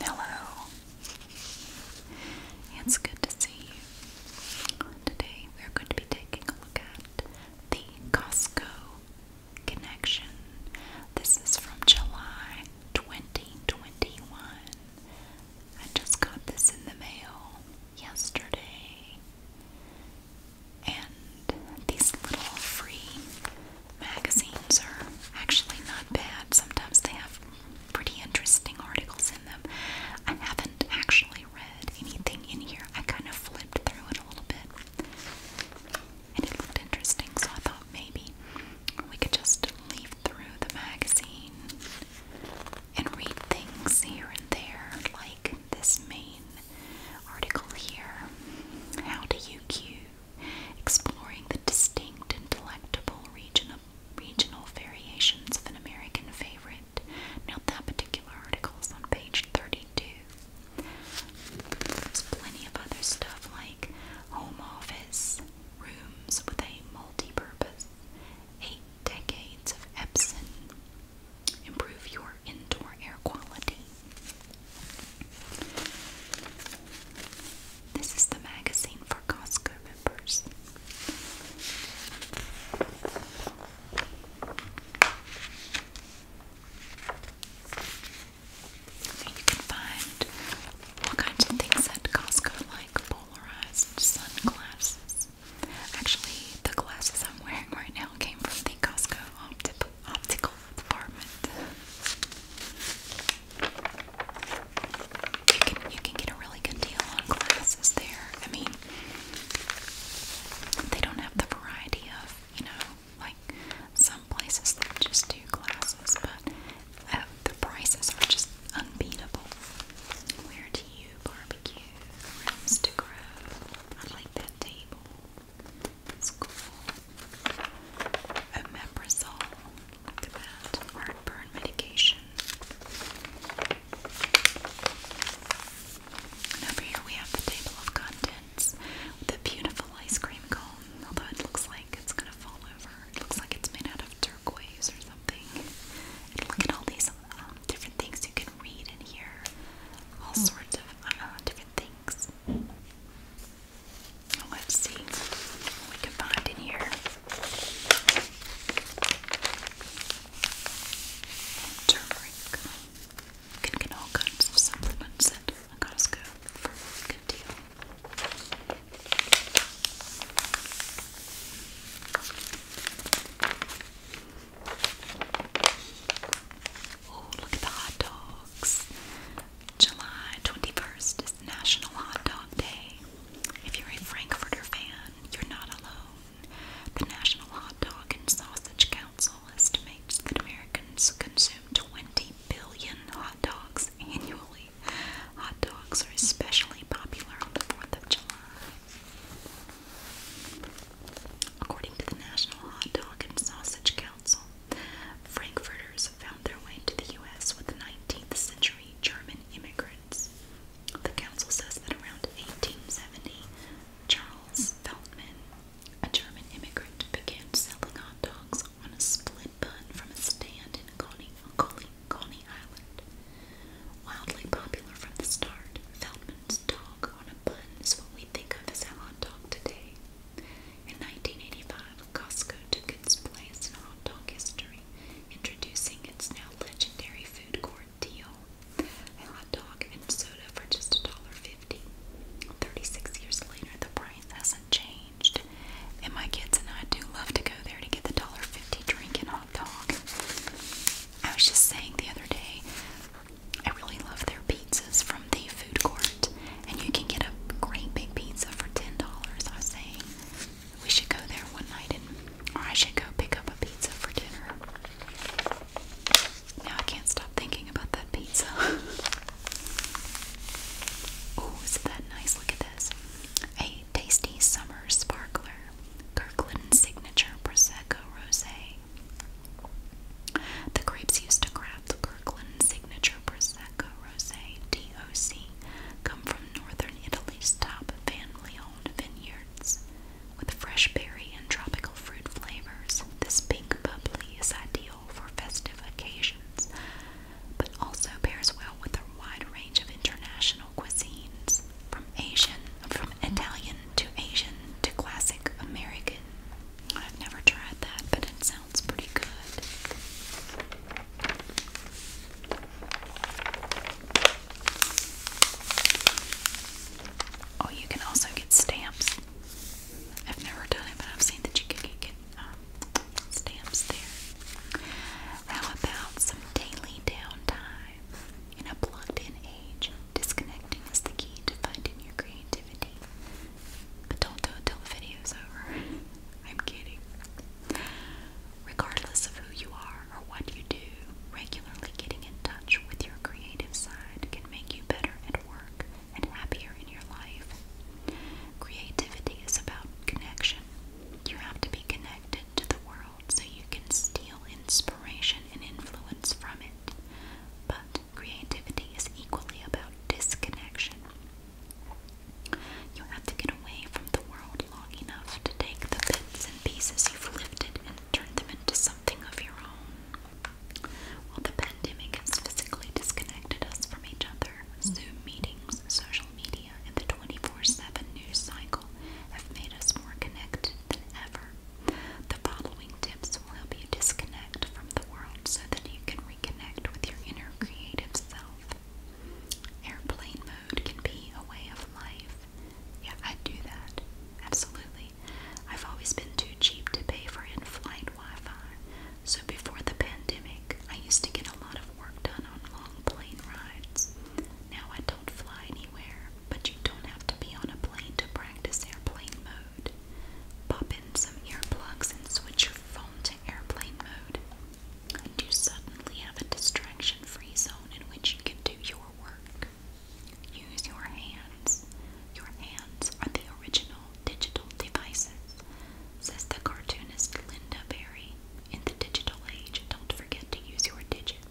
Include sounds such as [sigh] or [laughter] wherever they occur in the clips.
Hello. It's good to see you. Today we're going to be taking a look at the Costco connection. This is from July 2021. I just got this in the mail yesterday. And these little free magazines are actually not bad. Sometimes they have pretty interesting articles in them. I haven't actually read anything in here. I kind of flipped through it a little bit. And it looked interesting, so I thought maybe we could just leaf through the magazine and read things here and there, like this main article here. How to UQ, exploring the distinct and delectable regional variations of an American favorite. Now that particular article is on page 32. There's plenty of other stuff like home office, rooms with a multi-purpose, eight decades of Epson, improve your indoor air quality. This is the magazine for Costco members. you can find all kinds of things at Costco, like polarized sunglasses. Actually, the glasses I'm wearing right now came from the Costco opti optical department. You can you can get a really good deal on glasses there. I mean, they don't have the variety of you know like some places that just do glasses, but uh, the prices are just unbeatable. Where do you barbecue? Rooms to grow. I like that table. It's Look at that. Heartburn medication. And over here we have the table of contents with beautiful ice cream cone, although it looks like it's gonna fall over. It looks like it's made out of turquoise or something. look at all these um, different things you can read in here. All sorts of different things. Let's see what we can find in here. Turmeric. You can get all kinds of supplements at Costco for a good deal. Oh, look at the hot dogs. July 21st is National Hot Dog Day. If you're a Frankfurter fan, you're not alone. The National Hot Dog and Sausage Council estimates that Americans consume 20 billion hot dogs annually. Hot dogs are especially popular on the 4th of July. According to the National Hot Dog and Sausage Council, Frankfurters found their way to the U.S. with 19th century German immigrants. The council says that around 1870, Charles Feldman, a German immigrant, began selling hot dogs on a split bun from a stand in Coney, Coney, Coney Island. Wildly popular from the start, Feldman Allen's dog on a bun is what we think of as a hot dog today. In 1985, Costco took its place in hot dog history, introducing its now legendary food court deal, a hot dog and soda for just $1.50. 36 years later, the price hasn't changed, and my kids and I do love to go there to get the $1.50 drink and hot dog. I was just saying the other day, I really love their pizzas from the food court, and you can get a great big pizza for ten dollars. I was saying we should go there one night, and or I should go pick up a pizza for dinner. Now I can't stop thinking about that pizza. [laughs] oh, isn't that nice? Look at this. A tasty summer sparkler. Kirkland Signature Prosecco Rosé. The grapes used to craft the Kirkland signature Prosecco Rosé DOC come from northern Italy's top family-owned vineyards. With fresh berry and tropical fruit flavors, this pink bubbly is ideal for festive occasions, but also pairs well with a wide range of international cuisines, from Asian, from Italian to Asian to classic American. I've never tried that, but it sounds pretty good. Oh, you can also get stamps. I've never done it, but I've seen that you can get um, stamps there. How about some daily downtime in a plugged in age? Disconnecting is the key to finding your creativity. But don't do it till the video's over. [laughs] I'm kidding. Regardless of who you are or what you do, regularly getting in touch with your creative side can make you better at work and happier in your life. Creativity is about connection. You have to be connected to the world so you can steal inspiration and influence from it. But creativity is equally about disconnection. You have to get away from the world long enough to take the bits and pieces you've lifted and turn them into something of your own. While the pandemic has physically disconnected us from each other, Zoom meetings, social media, and the 24 7 news cycle have made us more connected than ever. The following tips will help you disconnect from the world so that you can reconnect with your inner creative self. Airplane mode can be a way of life. Yeah, I do that. Absolutely. I've always been too cheap to pay for in flight Wi Fi. So before the pandemic, I used to get a lot of work done on long plane rides. Now I don't fly anywhere but you don't have to be on a plane to practice airplane mode. Pop in some earplugs and switch your phone to airplane mode, and you suddenly have a distraction free zone in which you can do your work. Use your hands. Your hands are the original digital devices, says the cartoonist Linda Berry. In the digital age, don't forget to use your digits.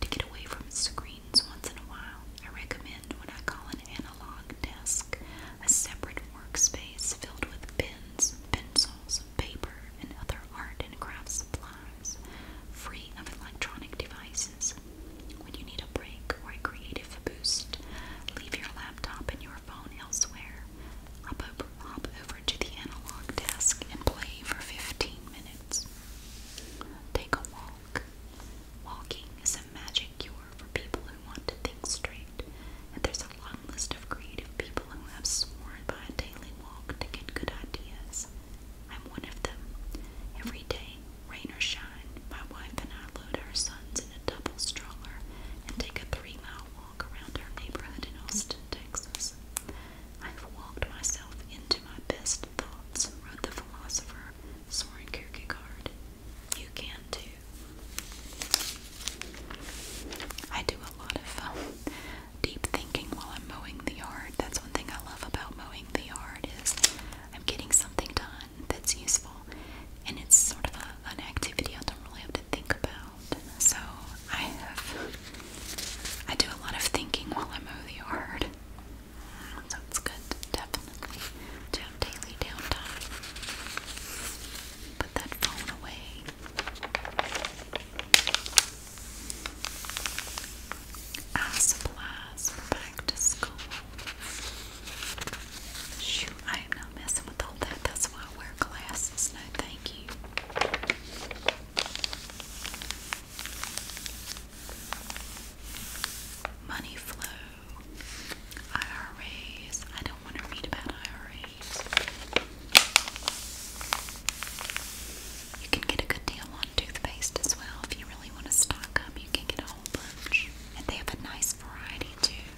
To get away from screens once in a while, I recommend what I call an analog desk, a separate workspace filled with pens, pencils, paper, and other art and craft supplies, free of electronic devices. When you need a break or a creative boost, leave your laptop and your phone elsewhere. Hop hop over to the analog desk and play for 15 minutes. Take a walk. Walking is a magic cure for people who want to think straight, and there's a long list of creative people who have sworn by a daily walk to get good ideas. I'm one of them. Every day, rain or shine, my wife and I load our sons in a double stroller and take a three mile walk around our neighborhood in Austin, Texas. I've walked myself into my best best thoughts, wrote the philosopher Soren Kierkegaard. You can too. I do a lot of um, deep thinking while I'm mowing the yard. That's one thing I love about mowing the yard is I'm getting something done that's useful. And it's sort of a, an activity I don't really have to think about. So I have, I do a lot of thinking while I mow the yard. So it's good, definitely, to have daily downtime. Put that phone away. Our back to school. Shoot, I am not messing with all that. That's why I wear glasses. No, thank you. Money flow, IRAs. I don't want to read about IRAs. You can get a good deal on toothpaste as well if you really want to stock up. You can get a whole bunch, and they have a nice variety too.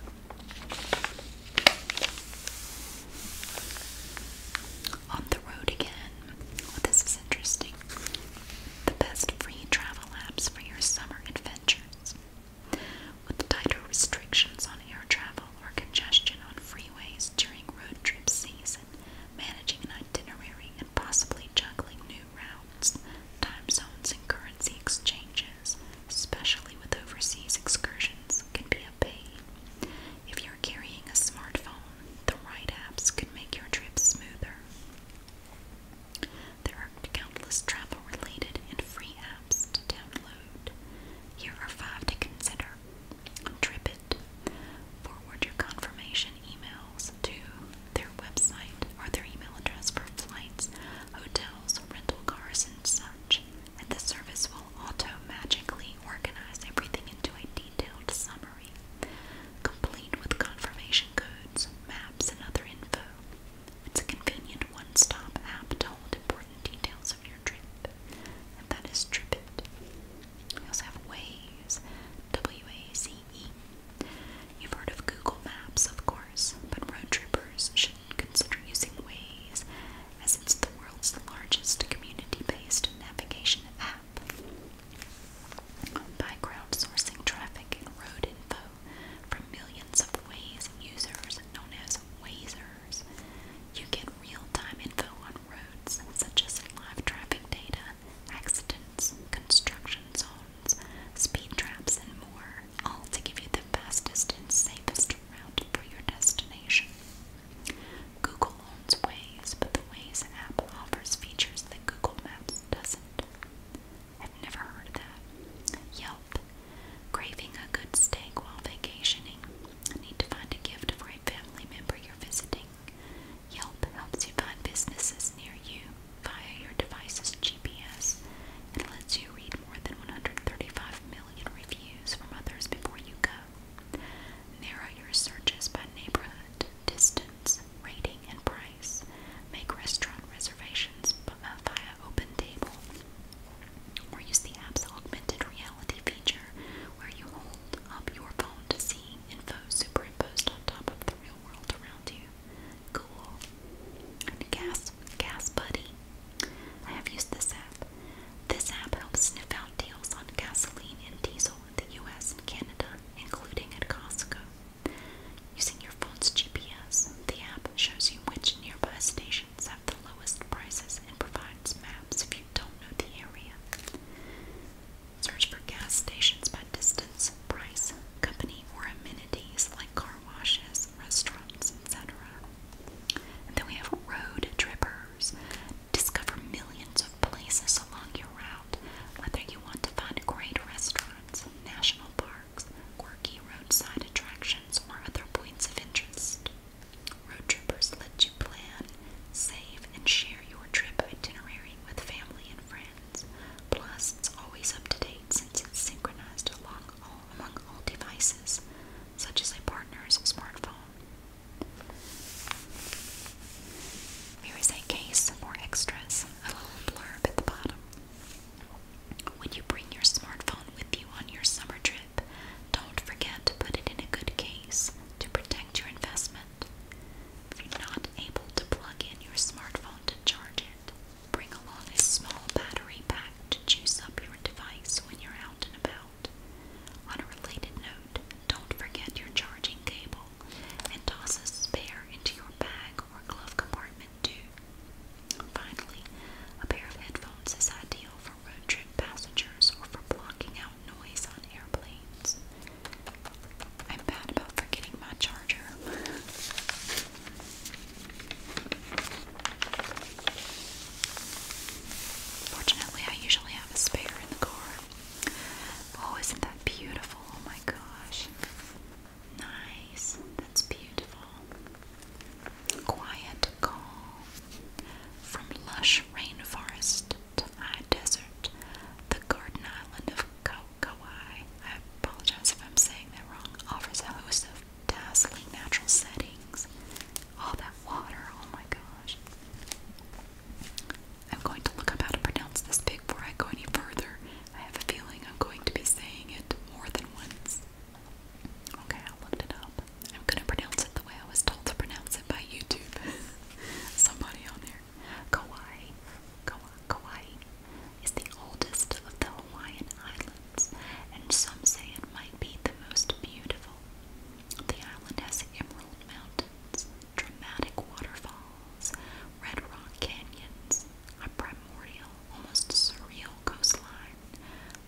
On the road again, Oh, this is interesting. The best free travel apps for your summer adventures. With tighter restrictions on air travel or congestion on freeways during road trip season, managing an itinerary and possibly juggling new routes, time zones, and currency exchanges, especially with overseas excursions, can be a pain. If you're carrying a smartphone, the right apps can make your trip smoother. There are countless travel related and free apps to download. Here are five to consider TripIt. Forward your confirmation emails to their website or their email address for flights, hotels, rental cars, and such. And the service will auto magically organize everything into a detailed summary complete with confirmation codes, maps, and other info. It's a convenient one-stop app to hold important details of your trip, and that is TripIt. We also have Waze, W-A-Z-E. You've heard of Google Maps, of course, but road trippers shouldn't consider using Waze, as it's the world's largest community-based navigation app. By crowdsourcing traffic and road info from millions of Waze users known as Wazers, you get real-time info on roads such as live traffic data, accidents, construction zones, speed traps, and more, all to give you the fastest and safest route for your destination. Google owns Waze, but the Waze app offers features that Google Maps doesn't. I've never heard of that. Yelp. Craving a good steak while vacationing. Need to find a gift for a family member you're visiting. Yelp helps you find businesses near you via your device's GPS and lets you read more than 135 million reviews from others before you go. Narrow your searches by neighborhood, distance, rating, and price. Make restaurant reservations uh, via OpenTable or use the app's augmented reality feature where you hold up your phone to see info superimposed on top of the real world around you. Cool. And Gas, Gas Buddy. I have used this app. This app helps sniff out deals on gasoline and diesel the US and Canada, including at Costco. Using your phone's GPS, the app shows you which nearby stations have the lowest prices and provides maps if you don't know the area. Search for gas stations by distance, price, company, or amenities like car washes, restaurants, etc. then we have road trippers. Discover millions of places along your route, whether you want to find great restaurants, national parks, quirky roadside attractions, or other points of interest. Road Trippers let you plan, save, and share your trip itinerary with family and friends. Plus, it's always up to date since it's synchronized among all devices, such as a partner's smartphone, Here's a case for extras, a little blurb at the bottom. When you bring your smartphone with you on your summer trip, don't forget to put it in a good case to protect your investment. If you're not able to plug in your smartphone to charge it, bring along a small battery pack to juice up your device when you're out and about. On a related note, don't forget your charging cable and toss a spare into your bag or glove compartment too. Finally, a pair of headphones is ideal for road trip passengers or for blocking out noise on airplanes. I'm bad about forgetting my charger. Fortunately, I usually have a spare in the car. Oh, isn't that beautiful? Oh my gosh. Nice. That's beautiful. Quiet call. From lush rainforest to high desert, the garden island of Kauai, I apologize if I'm saying that wrong, offers a host of dazzling natural settings. All that water, oh my gosh. I'm going to look up how to pronounce this pig before I go any further. I have a feeling I'm going to be saying it more than once. Okay, I looked it up. I'm gonna pronounce it the way I was told to pronounce it by YouTube. [laughs] Somebody on there. Kauai, Kauai, Kauai is the oldest of the Hawaiian islands, and some say it might be the most beautiful. The island has emerald mountains, dramatic waterfalls, red rock canyons, a primordial, almost surreal coastline,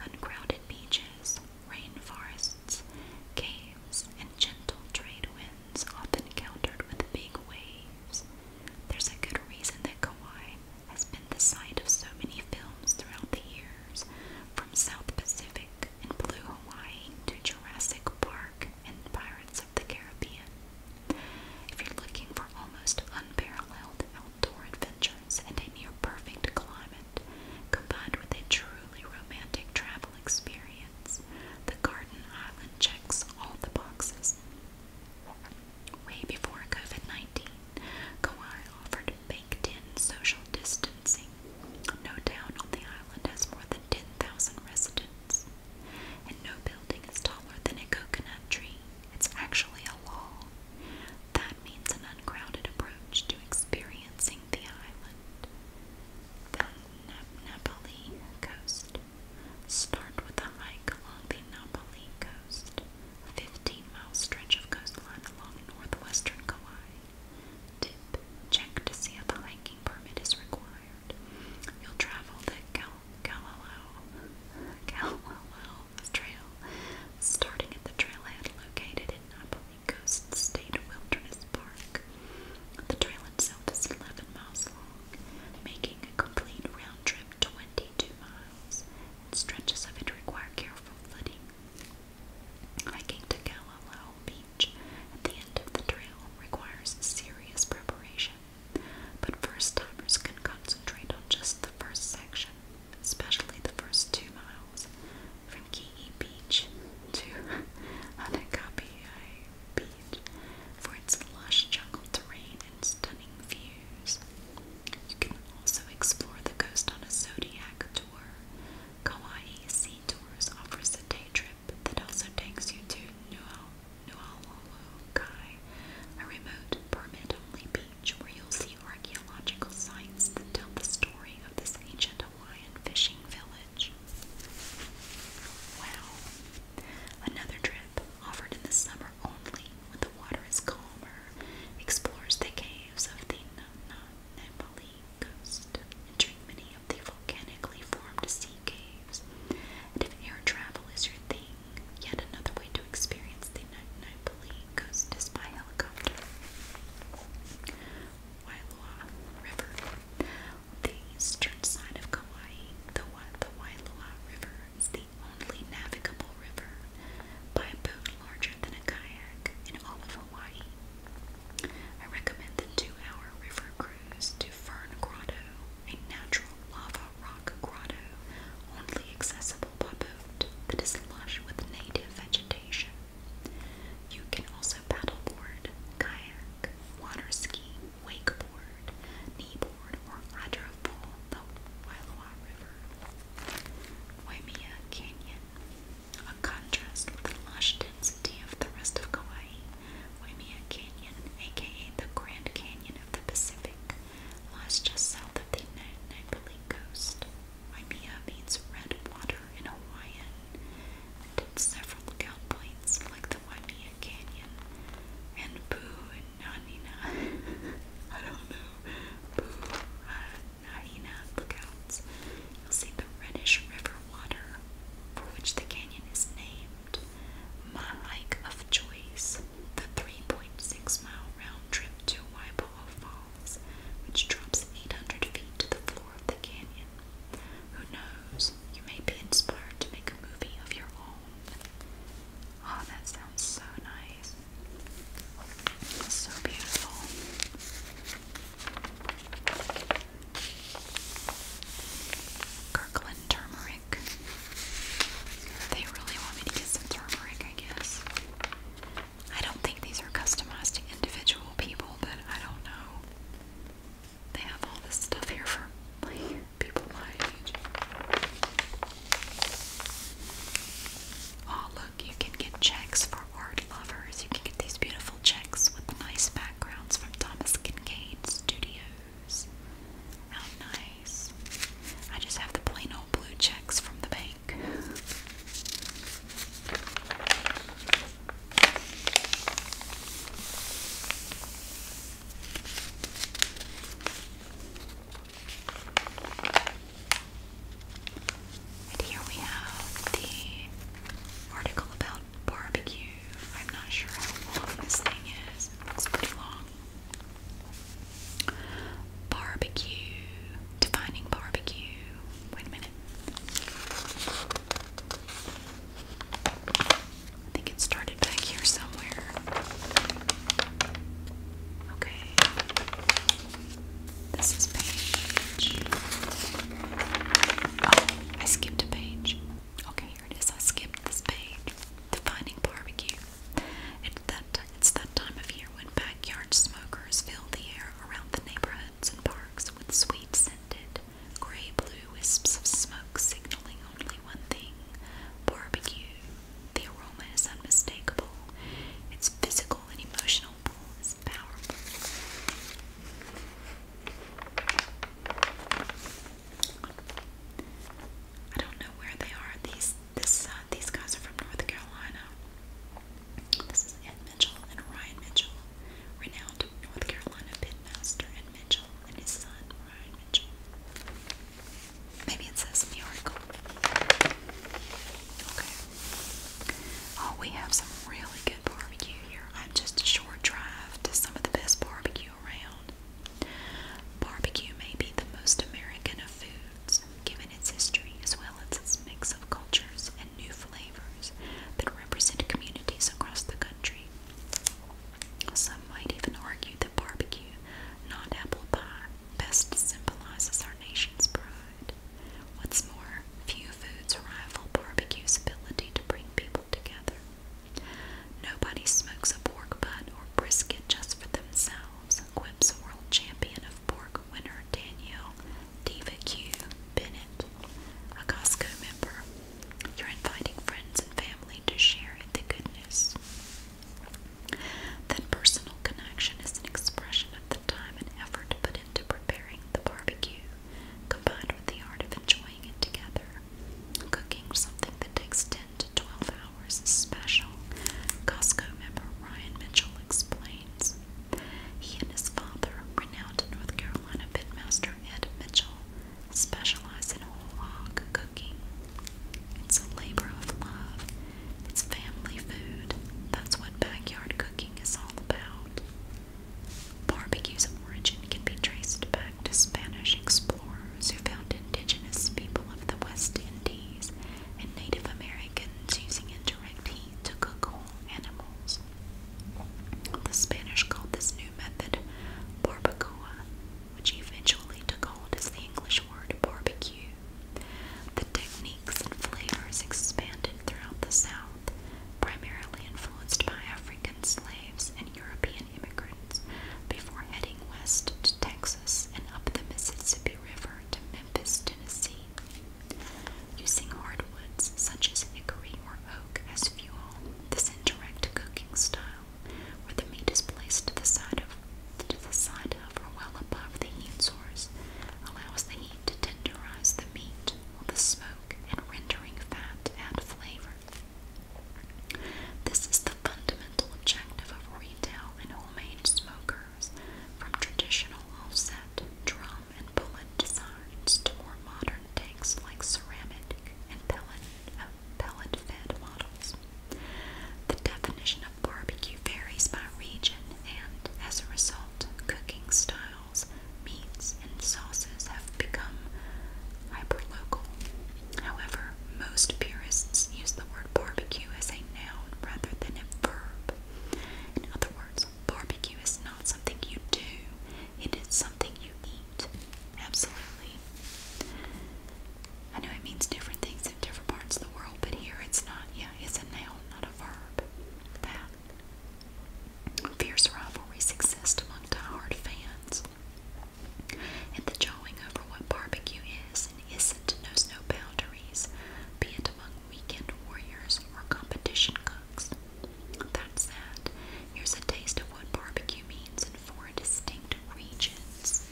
uncrowded beaches, rainforests, caves, and gentle trade winds often countered with big waves. There's a good reason that Kauai has been the site of so many films throughout the years, from South Pacific Pacific and Blue Hawaii to Jurassic Park and Pirates of the Caribbean. If you're looking for almost unparalleled outdoor adventures and a near perfect climate, combined with a truly romantic travel experience, the Garden Island checks all the boxes. Way before COVID 19, Kauai offered baked in social distancing no town on the island has more than 10,000 residents, and no building is taller than a coconut tree. It's actually a law. That means an uncrowded approach to experiencing the island. The Napoli coast. Start with a hike along the Napoli coast, a 15 mile stretch of coastline along northwestern Kauai. Tip, check to see if a hiking permit is required. You'll travel the Galileo, Galileo Trail, starting at the trailhead located in Napoli Coast State Wilderness Park. The trail itself is 11 miles long, making a complete round trip 22 miles, stretches of it require careful footing. Hiking to Galileo Beach at the end of the trail requires serious preparation, but first timers can concentrate on just the first section, especially the first two miles from Key Beach to [laughs] Anakapiai Beach for its lush jungle terrain and stunning views. You can also explore the coast on a zodiac tour, Kauai Sea Tours offers a day trip that also takes you to Nualualukai, a remote, permit-only beach where you'll see archaeological sites that tell the story of this ancient Hawaiian fishing village. Wow! Another trip, offered in the summer only when the water is calmer, explores the caves of the Namna Nepali coast entering many of the volcanically formed sea caves. And if air travel is your thing, yet another way to experience the Nepali coast is by helicopter. Wailua River. the eastern side of Kauai, the, the River is the only navigable river by boat larger than a kayak in all of Hawaii. I recommend the two-hour river cruise to Fern Grotto, a natural lava rock grotto only accessible by boat that is lush with native vegetation. You can also paddleboard, kayak, water ski, wakeboard, kneeboard, or hydrofoil the Wailoa River. Waimea Canyon a contrast with the lush density of the rest of Kauai. Waimea Canyon, aka the Grand Canyon of the Pacific, lies just south of the Nipali coast. Waimea means red water in Hawaiian, and in several lookout like the Waimea Canyon and Poo and Nanina. [laughs] I don't know. Poo, hyena lookouts, you'll see the reddish river water for which the canyon is named. My hike of choice, the 3.6 mile round trip to Waipoa Falls, which drops 800 feet to the floor of the canyon. Who knows, you may be inspired to make a movie of your own. Oh, that sounds so nice. So beautiful. Kirkland turmeric. They really want me to get some turmeric, I guess. I don't think these are customized to individual people, but I don't know. They have all this stuff here for [laughs] people my Oh, look, you can get checks for for lovers, you can get these beautiful checks with nice backgrounds from Thomas Kincaid Studios. How nice. I just have the plain old blue checks from the bank. And here we have the article about barbecue. I'm not sure how long this thing is. It's pretty long. Barbecue. Defining barbecue. Wait a minute. I think it started back here somewhere. Okay. This is page. Oh, I skipped a page. Okay, here it is. I skipped this page. Defining barbecue. It's that it's that time of year when backyard smokers fill the air around the neighborhoods and parks with sweet scented gray blue wisps of smoke signaling only one thing barbecue. The aroma is unmistakable. Its physical and emotional pull is powerful. I don't know where they are. These this uh, these guys are from North Carolina. This is Ed Mitchell and Ryan Mitchell, renowned North Carolina pitmaster Ed Mitchell and his son Ryan Mitchell. Maybe it says in Okay. Oh, we have some really good barbecue here. I'm just a short drive to some of the best barbecue around. Barbecue may be the most American of foods, given its history as well as its mix of cultures and new flavors that represent communities across the country. Some might even argue that barbecue, not apple pie, best symbolizes our nation's pride. What's more, few foods rival barbecue's ability to bring people together. Nobody smokes a pork butt or brisket just for themselves, quips world champion of pork winner Danielle Diva Q. Bennett, a Costco member. You're inviting friends and family to share in the goodness. That personal connection is an expression of the time and effort put into preparing the barbecue, combined with the art of enjoying it together. Cooking something that takes 10 to 12 hours is special, Costco member Ryan Mitchell explains. He and his father, renowned North Carolina pitmaster Ed Mitchell, specialize in whole hog cooking. It's a labor of love it's family food. That's what backyard cooking is all about. Barbecue's of origin can be traced back to Spanish explorers who found indigenous people of the West Indies and Native Americans using indirect heat to cook whole animals. The Spanish called this new method barbacoa, which eventually took hold as the English word barbecue. The techniques and flavors expanded throughout the South, primarily influenced by African slaves and European immigrants, before heading west to Texas and up the Mississippi River to Memphis, Tennessee. Using hardwoods such as hickory or oak as fuel, this indirect cooking style, where the meat is placed to the side of or well above the heat source, allows the need to tenderize the meat while the smoke and rendering fat add flavor. This is the fundamental objective of retail and homemade smokers, from traditional offset, drum, and bullet designs to more modern takes like ceramic and pellet, uh, pellet fed models. The definition of barbecue varies by region and as a result, cooking styles, meats, and sauces have become hyperlocal. However, most purists use the word barbecue as a noun rather than a verb. In other words, barbecue is not something you do, it is something you eat. Absolutely. I know it means different things in different parts of the world, but here it's not, yeah, it's a noun, not a fierce rivalries exist among die-hard fans, and the jawing over what barbecue is and isn't knows no boundaries, be it among weekend warriors or competition cooks. That's that. Here's a taste of what barbecue means in four distinct regions.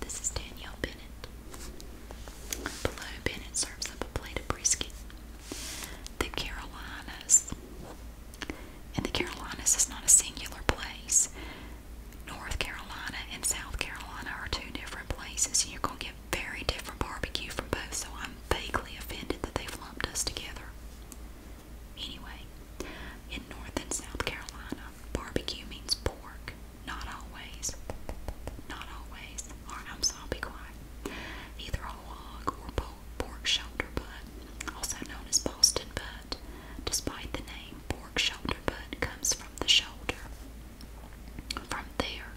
This is Danielle Bennett. Below, Bennett serves up a plate of brisket. The Carolinas. And the Carolinas is not a singular place. North Carolina and South Carolina are two different places, and you're going to get very different barbecue from both, so I'm vaguely offended that they lumped us together. Anyway, in North and South Carolina, Barbecue means pork. Not always. Not always. Alright, I'm sorry, be quiet. Either a log or pork shoulder butt, also known as Boston butt. Despite the name, pork shoulder butt comes from the shoulder. From there,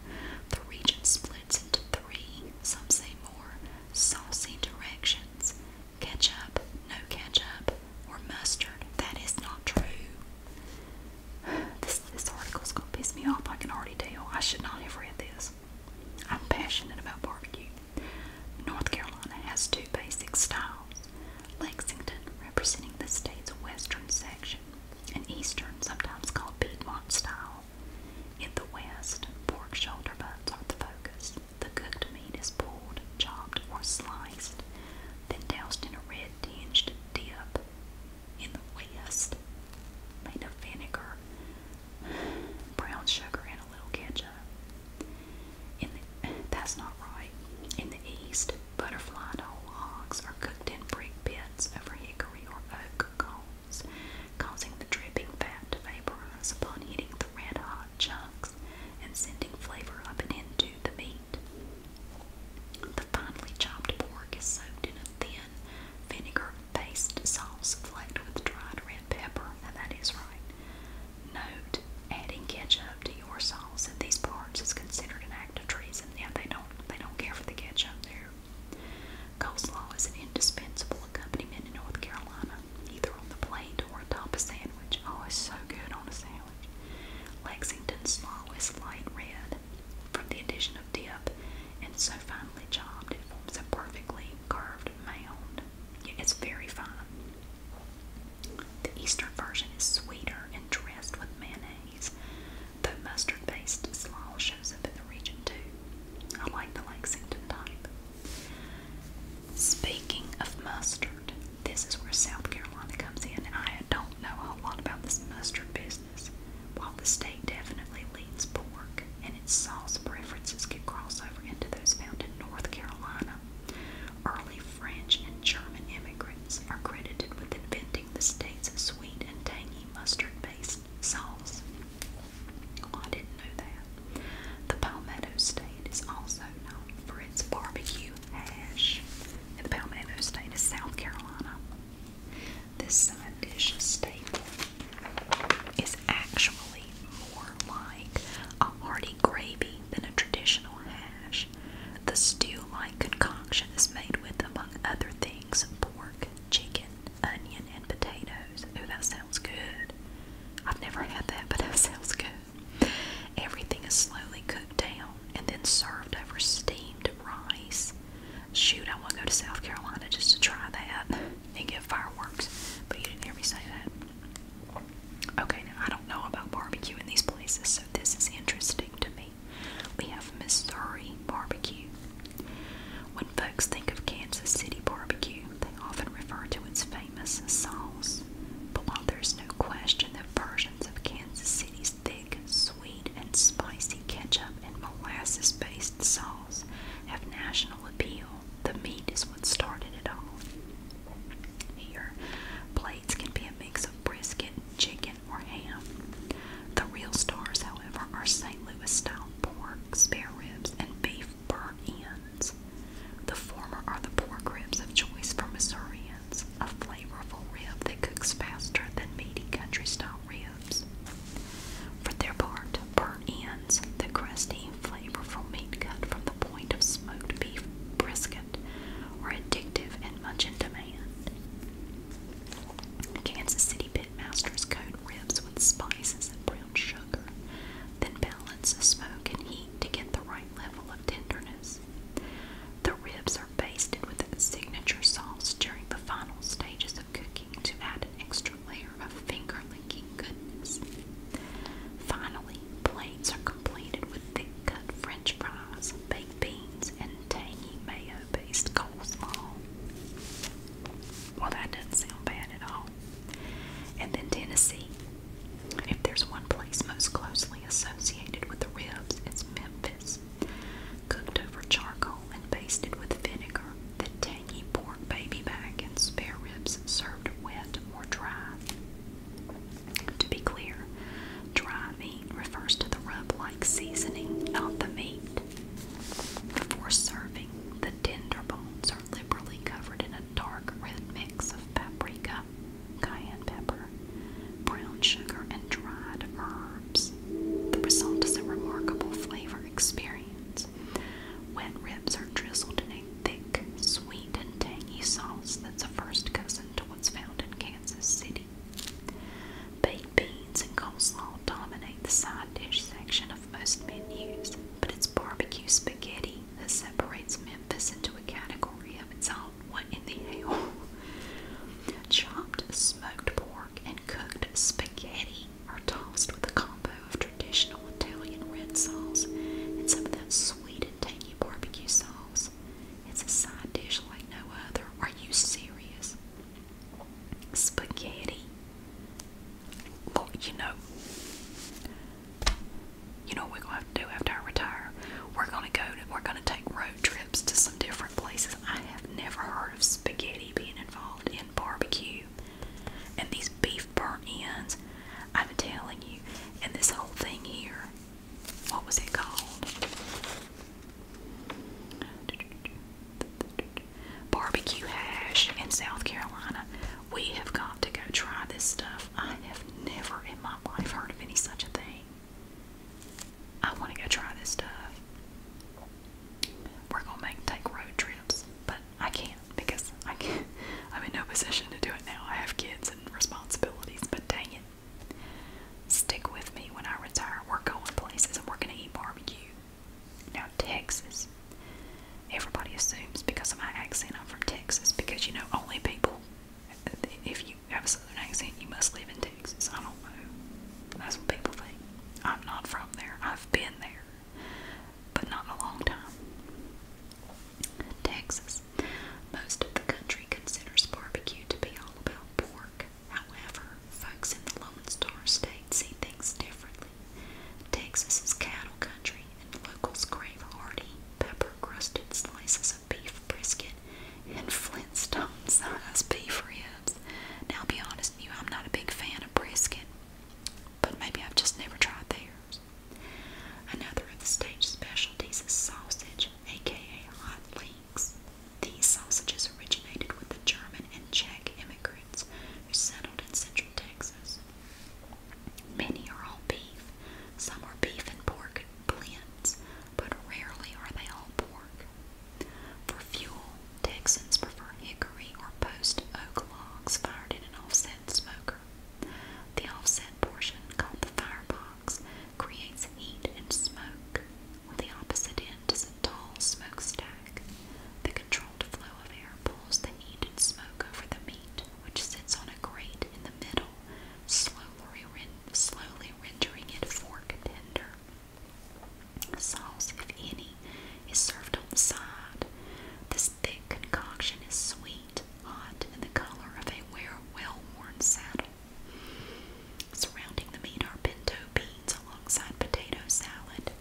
the region splits into three, some say more, saucy directions. Ketchup, no ketchup, or mustard. That is not true. This, article is gonna piss me off, I can already tell. I should not have read this. I'm passionate about barbecue. North Carolina has two basic styles Lexington, representing the state's western section, and eastern, sometimes called Piedmont style. In the west, pork shoulder butts are the focus. The cooked meat is pulled, chopped, or sliced, then doused in a red it tinged in the West made of vinegar, brown sugar, and a little ketchup. In the, that's not right. In the East, butterfly and whole hogs are cooked in brick pits over hickory or oak coals, causing the dripping fat to vaporize upon hitting the red hot chunks and sending flavor up and into the meat. The finely chopped pork is soaked in a thin vinegar-based sauce flaked with dried red pepper. Now that is right. Note, adding ketchup to your sauce in these parts is considered an act of treason. Yeah, they don't they don't care for the ketchup there. Coleslaw is an indispensable accompaniment in North Carolina, either on the plate or atop a sandwich. Oh, it's so good on a sandwich. Lexington's law is light red from the addition of dip, and so finely chopped it forms a perfectly curved mound. It's very fine. The Eastern version is sweeter and dressed with mayonnaise, The mustard-based slaw shows up in the region too. I like the Lexington type. Speaking of mustard, this is where South Carolina comes in. I don't know a whole lot about this mustard business. While the state definitely leads pork and its sauce preferences could cross over into those found in North Carolina, early French and German immigrants are credited with inventing the state's sweet and tangy mustard-based sauce. Oh, I didn't know that. The Palmetto State is also known for its barbecue hash. And the Palmetto State is South Carolina. This side dish staple is actually more like a hearty gravy than a traditional hash. The stew-like concoction is made with, among other things, pork, chicken, onion, and potatoes. Oh, that sounds good. I've never had that, but that sounds good. Everything is slowly cooked down and then served over steamed rice. Shoot, I want to go to South Carolina just to try that and get fireworks. But you didn't hear me say that. Okay, now I don't know about barbecue in these places, so this is interesting to me. We have Missouri barbecue. When folks think of Kansas City barbecue, they often refer to its famous sauce. But while there's no question that of Kansas City's thick, sweet, and spicy ketchup and molasses based sauce have national appeal. The meat is what started it all. Here, plates can be a mix of brisket, chicken, or ham. The real stars, however, are St. Louis style pork, spare ribs, and beef burnt ends. The former are the pork ribs of choice for Missourians of flavorful rib that cooks faster than meaty country style ribs. For their part, burnt ends, the crusty, flavorful meat cut from the point of smoked beef brisket, are addictive and much in demand. Kansas City pitmasters coat ribs with spices and brown sugar, then balance the smoke and heat to get the right level of tenderness. The ribs are basted with a signature sauce during the final stages of cooking to add an extra layer of finger licking goodness. Finally, plates are completed with thick cut french fries, baked beans, and tangy mayo based coleslaw. Well, that doesn't sound bad at all. And then Tennessee if there's one place most closely associated with the ribs, it's Memphis. Cooked over charcoal and basted with vinegar, the tangy pork baby back and spare ribs served wet or dry. To be clear, dry meat refers to the rub-like seasoning, not the meat. Before serving, the tender bones are liberally covered in a dark red mix of paprika, cayenne pepper, brown sugar, and dried herbs. The result is a remarkable flavor experience. Wet ribs are drizzled in a thick, sweet, and tangy sauce that's a first cousin to what's found in Kansas City. Baked beans and coleslaw dominate the side dish section of most menus, but it's barbecue spaghetti that separates them this into a category of its own. What in the hell? [laughs] Chopped smoked pork and cooked spaghetti are tossed with a combo of traditional Italian red sauce and some of that sweet and tangy barbecue sauce. It's a side dish like no other. Are you serious? Spaghetti. Well, you know, you know we're gonna have to after I retire? We're gonna go we're gonna take road trips to some different places. I have never heard of spaghetti being involved in barbecue. And these beef burnt ends, I'm telling you, and this whole thing here, what was it called? Barbecue hash in South Carolina. We have got to go try this stuff. I have never in my my life heard of any such a thing. I want to go try this stuff. We're gonna make take road trips, but I can't because I can't. [laughs] I'm in no position to do it now. I have kids and responsibilities, but dang it, stick with me when I retire. We're going places and we're gonna eat barbecue. Now Texas, everybody assumes because of my accent I'm from Texas because you know only people if you have a southern accent, you must live in Texas. I don't know. That's what people think. I'm not from there. I've been there, but not in a long time. Texas. Most of the country considers barbecue to be all about pork. However, folks in the Lone Star State see things differently. Texas is cattle country, and locals crave hearty, pepper crusted slices of beef brisket and Flintstone sized [laughs] beef ribs. Now, I'll be honest with you, I'm not a big fan of brisket, but maybe I've just never tried theirs. Another of the stage specialties is sausage, aka hot links. These sausages originated with the German and Czech immigrants who settled in central Texas. Many are all beef. Some are beef and pork blends, but rarely are they all pork. For fuel, Texans prefer hickory or post oak logs fired in an offset smoker. The offset portion, called the firebox, creates heat and smoke. On the opposite end is a tall smokestack. The controlled flow of air pulls the heat and smoke over the meat, which sits on a grate in the middle slowly, rendering it fork tender. Sauce, if any, is served on the side. This thick concoction is sweet, hot, and the color of a well-worn saddle. Surrounding the meat are pinto beans alongside potato salad,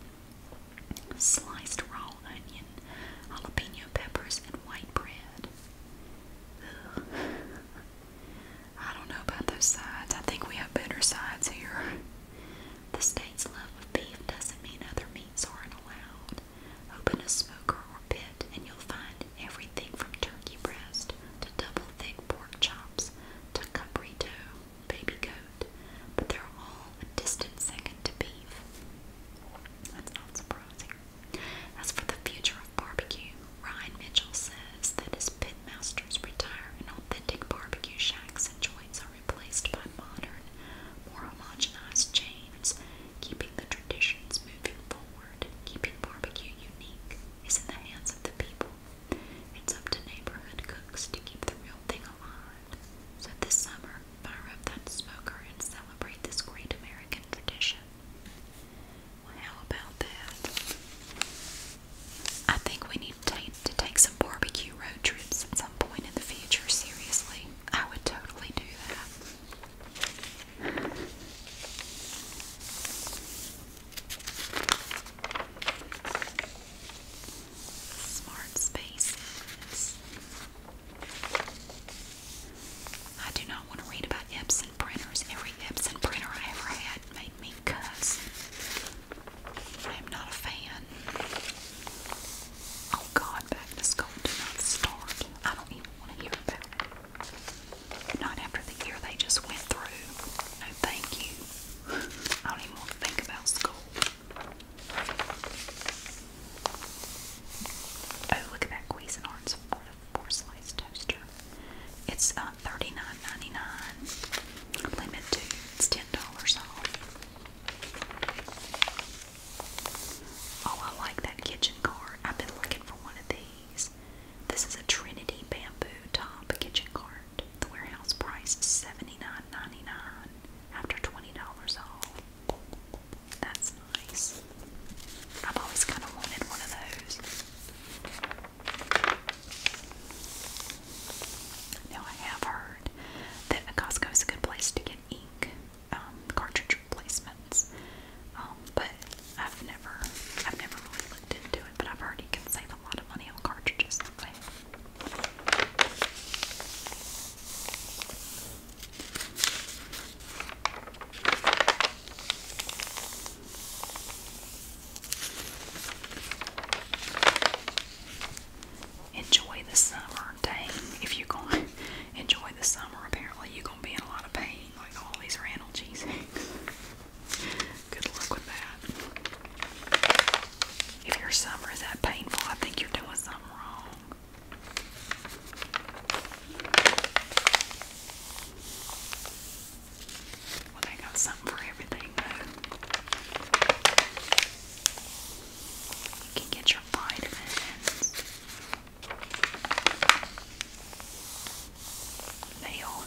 sliced raw onion, jalapeno peppers, and white bread. Ugh. I don't know about those sides. I think we have better sides here. The state's love of beef doesn't mean other meats aren't allowed. Open a smoker or pit, and you'll find everything from turkey breast to double thick pork chops to cabrito, baby goat, but they're all a distant second to beef. That's not surprising. As for the future of barbecue, Ryan Mitchell says that as pitmasters retire authentic barbecue shacks and joints are replaced by modern, more homogenized chains, keeping the traditions moving forward, keeping barbecue unique, is in the hands of the people. It's up to neighborhood cooks to keep the real thing alive. So this summer, fire up that smoker and celebrate this great American tradition how about that? I think we need to take some barbecue road trips at some point in the future, seriously. I would totally do that. Smart spaces. I do not want to read about Epson printers. Every Epson printer I ever had made me cuss. I am not a fan. Oh God, back to school did not start. I don't even want to hear about it. Not after the year they just went through. No, thank you. [laughs] I don't want to think about school. Oh, look at that Cuisinart's four, slice toaster. It's uh, $39.99. it's $10 off. Oh, I like that kitchen card. I've been looking for one of these. This is a Trinity Bamboo Top Kitchen Cart. The warehouse price is $79.99 after $20 off. That's nice. I've always kind of wanted one of those. Now, I have heard that Costco is a good place to get ink um, cartridge replacements, um, but I've never, I've never really looked into it. But I've heard you a lot of money on cartridges Enjoy the summer. Dang, if you're going [laughs] to enjoy the summer, apparently you're going to be in a lot of pain, like all these Randall [laughs] Good luck with that. If your summer is that painful, I think you're doing something wrong. Well, they got something for everything, You can get your vitamins. They all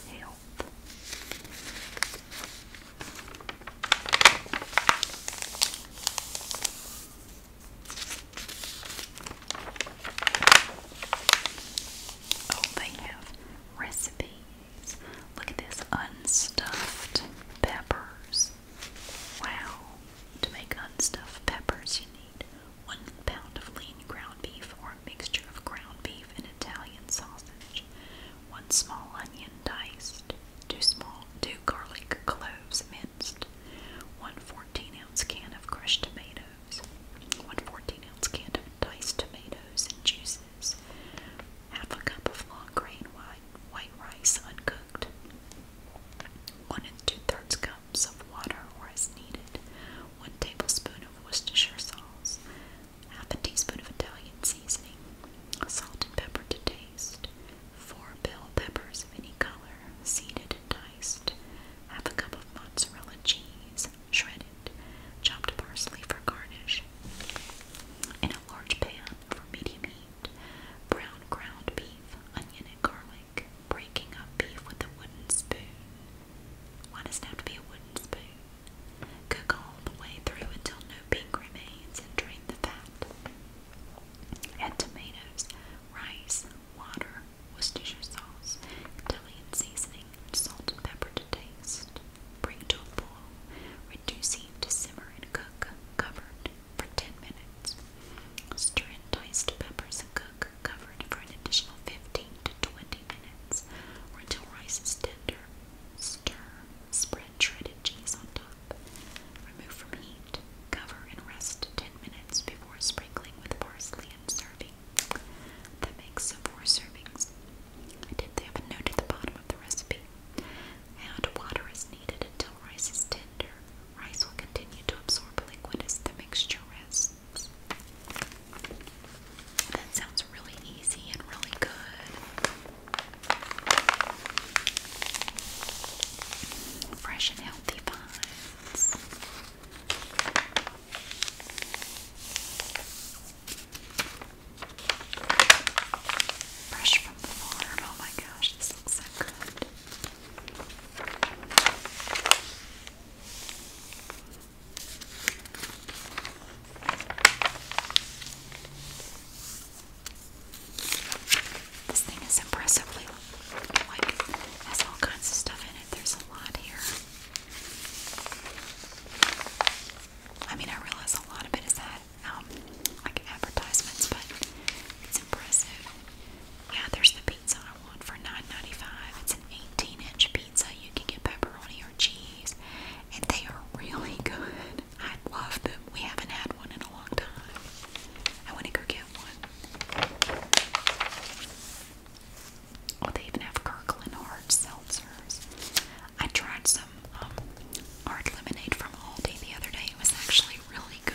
Oh, they have recipes. Look at this unstuffed peppers. Wow. To make unstuffed peppers, you need one pound of lean ground beef or a mixture of ground beef and Italian sausage, one small onion diced, two small two garlic cloves minced, one 4 14 ounce can of crushed tomatoes, one 14 ounce can of diced tomatoes and juices, half a cup of long grain white, white rice uncooked, one and two thirds cups of water or as needed, one tablespoon of Worcestershire sauce, half a teaspoon of Italian seasoning, salt and pepper to taste, 4 bell peppers of any color, seeded and diced, half a cup of mozzarella cheese, shredded, chopped parsley for garnish. In a large pan for medium heat, brown ground beef, onion and garlic, breaking up beef with a wooden spoon. Why does it have to be a wooden spoon? Cook all the way through until no pink remains and drain the fat. Add tomatoes, rice, water, Worcestershire sauce, Italian seasoning, salt and pepper to taste. Bring to a boil, reduce heat to simmer and cook, covered for 10 minutes. Stir in diced peppers and cook, covered for an additional 15 to 20 minutes or until rice is tender. Stir, spread shredded cheese on top. Remove from heat, cover, and rest 10 minutes before sprinkling with parsley and serving. That makes four servings. I did have a note at the bottom of the recipe. Add water as needed until rice is tender. Rice will continue to absorb liquid as the mixture rests. That sounds really easy and really good. Fresh and healthy Fresh from the farm. Oh my gosh, this looks so good. This thing is impressively like has all kinds of stuff in it. There's a lot here. I mean, I realize a lot of it is that um, like advertisements, but it's impressive. Yeah, there's the pizza I want for nine ninety five. It's an 18-inch pizza. You can get pepperoni or cheese, and they are really [laughs] good. I love them. We haven't had one in a long time. I want to go get one. Oh, they even have Kirkland hard seltzers. I tried some um, hard lemonade from Aldi the other day. It was actually really good.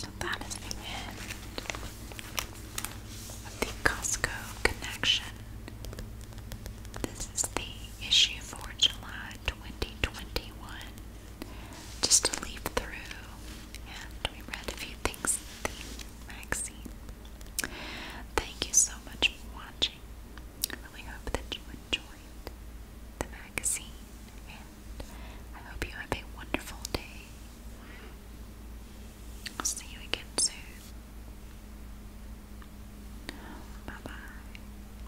So that is the end of the Costco connection. This is the issue for July 2021 just to leaf through, and we read a few things in the magazine. Thank you so much for watching. I really hope that you enjoyed the magazine, and I hope you have a wonderful day. I'll see you again soon. Bye bye.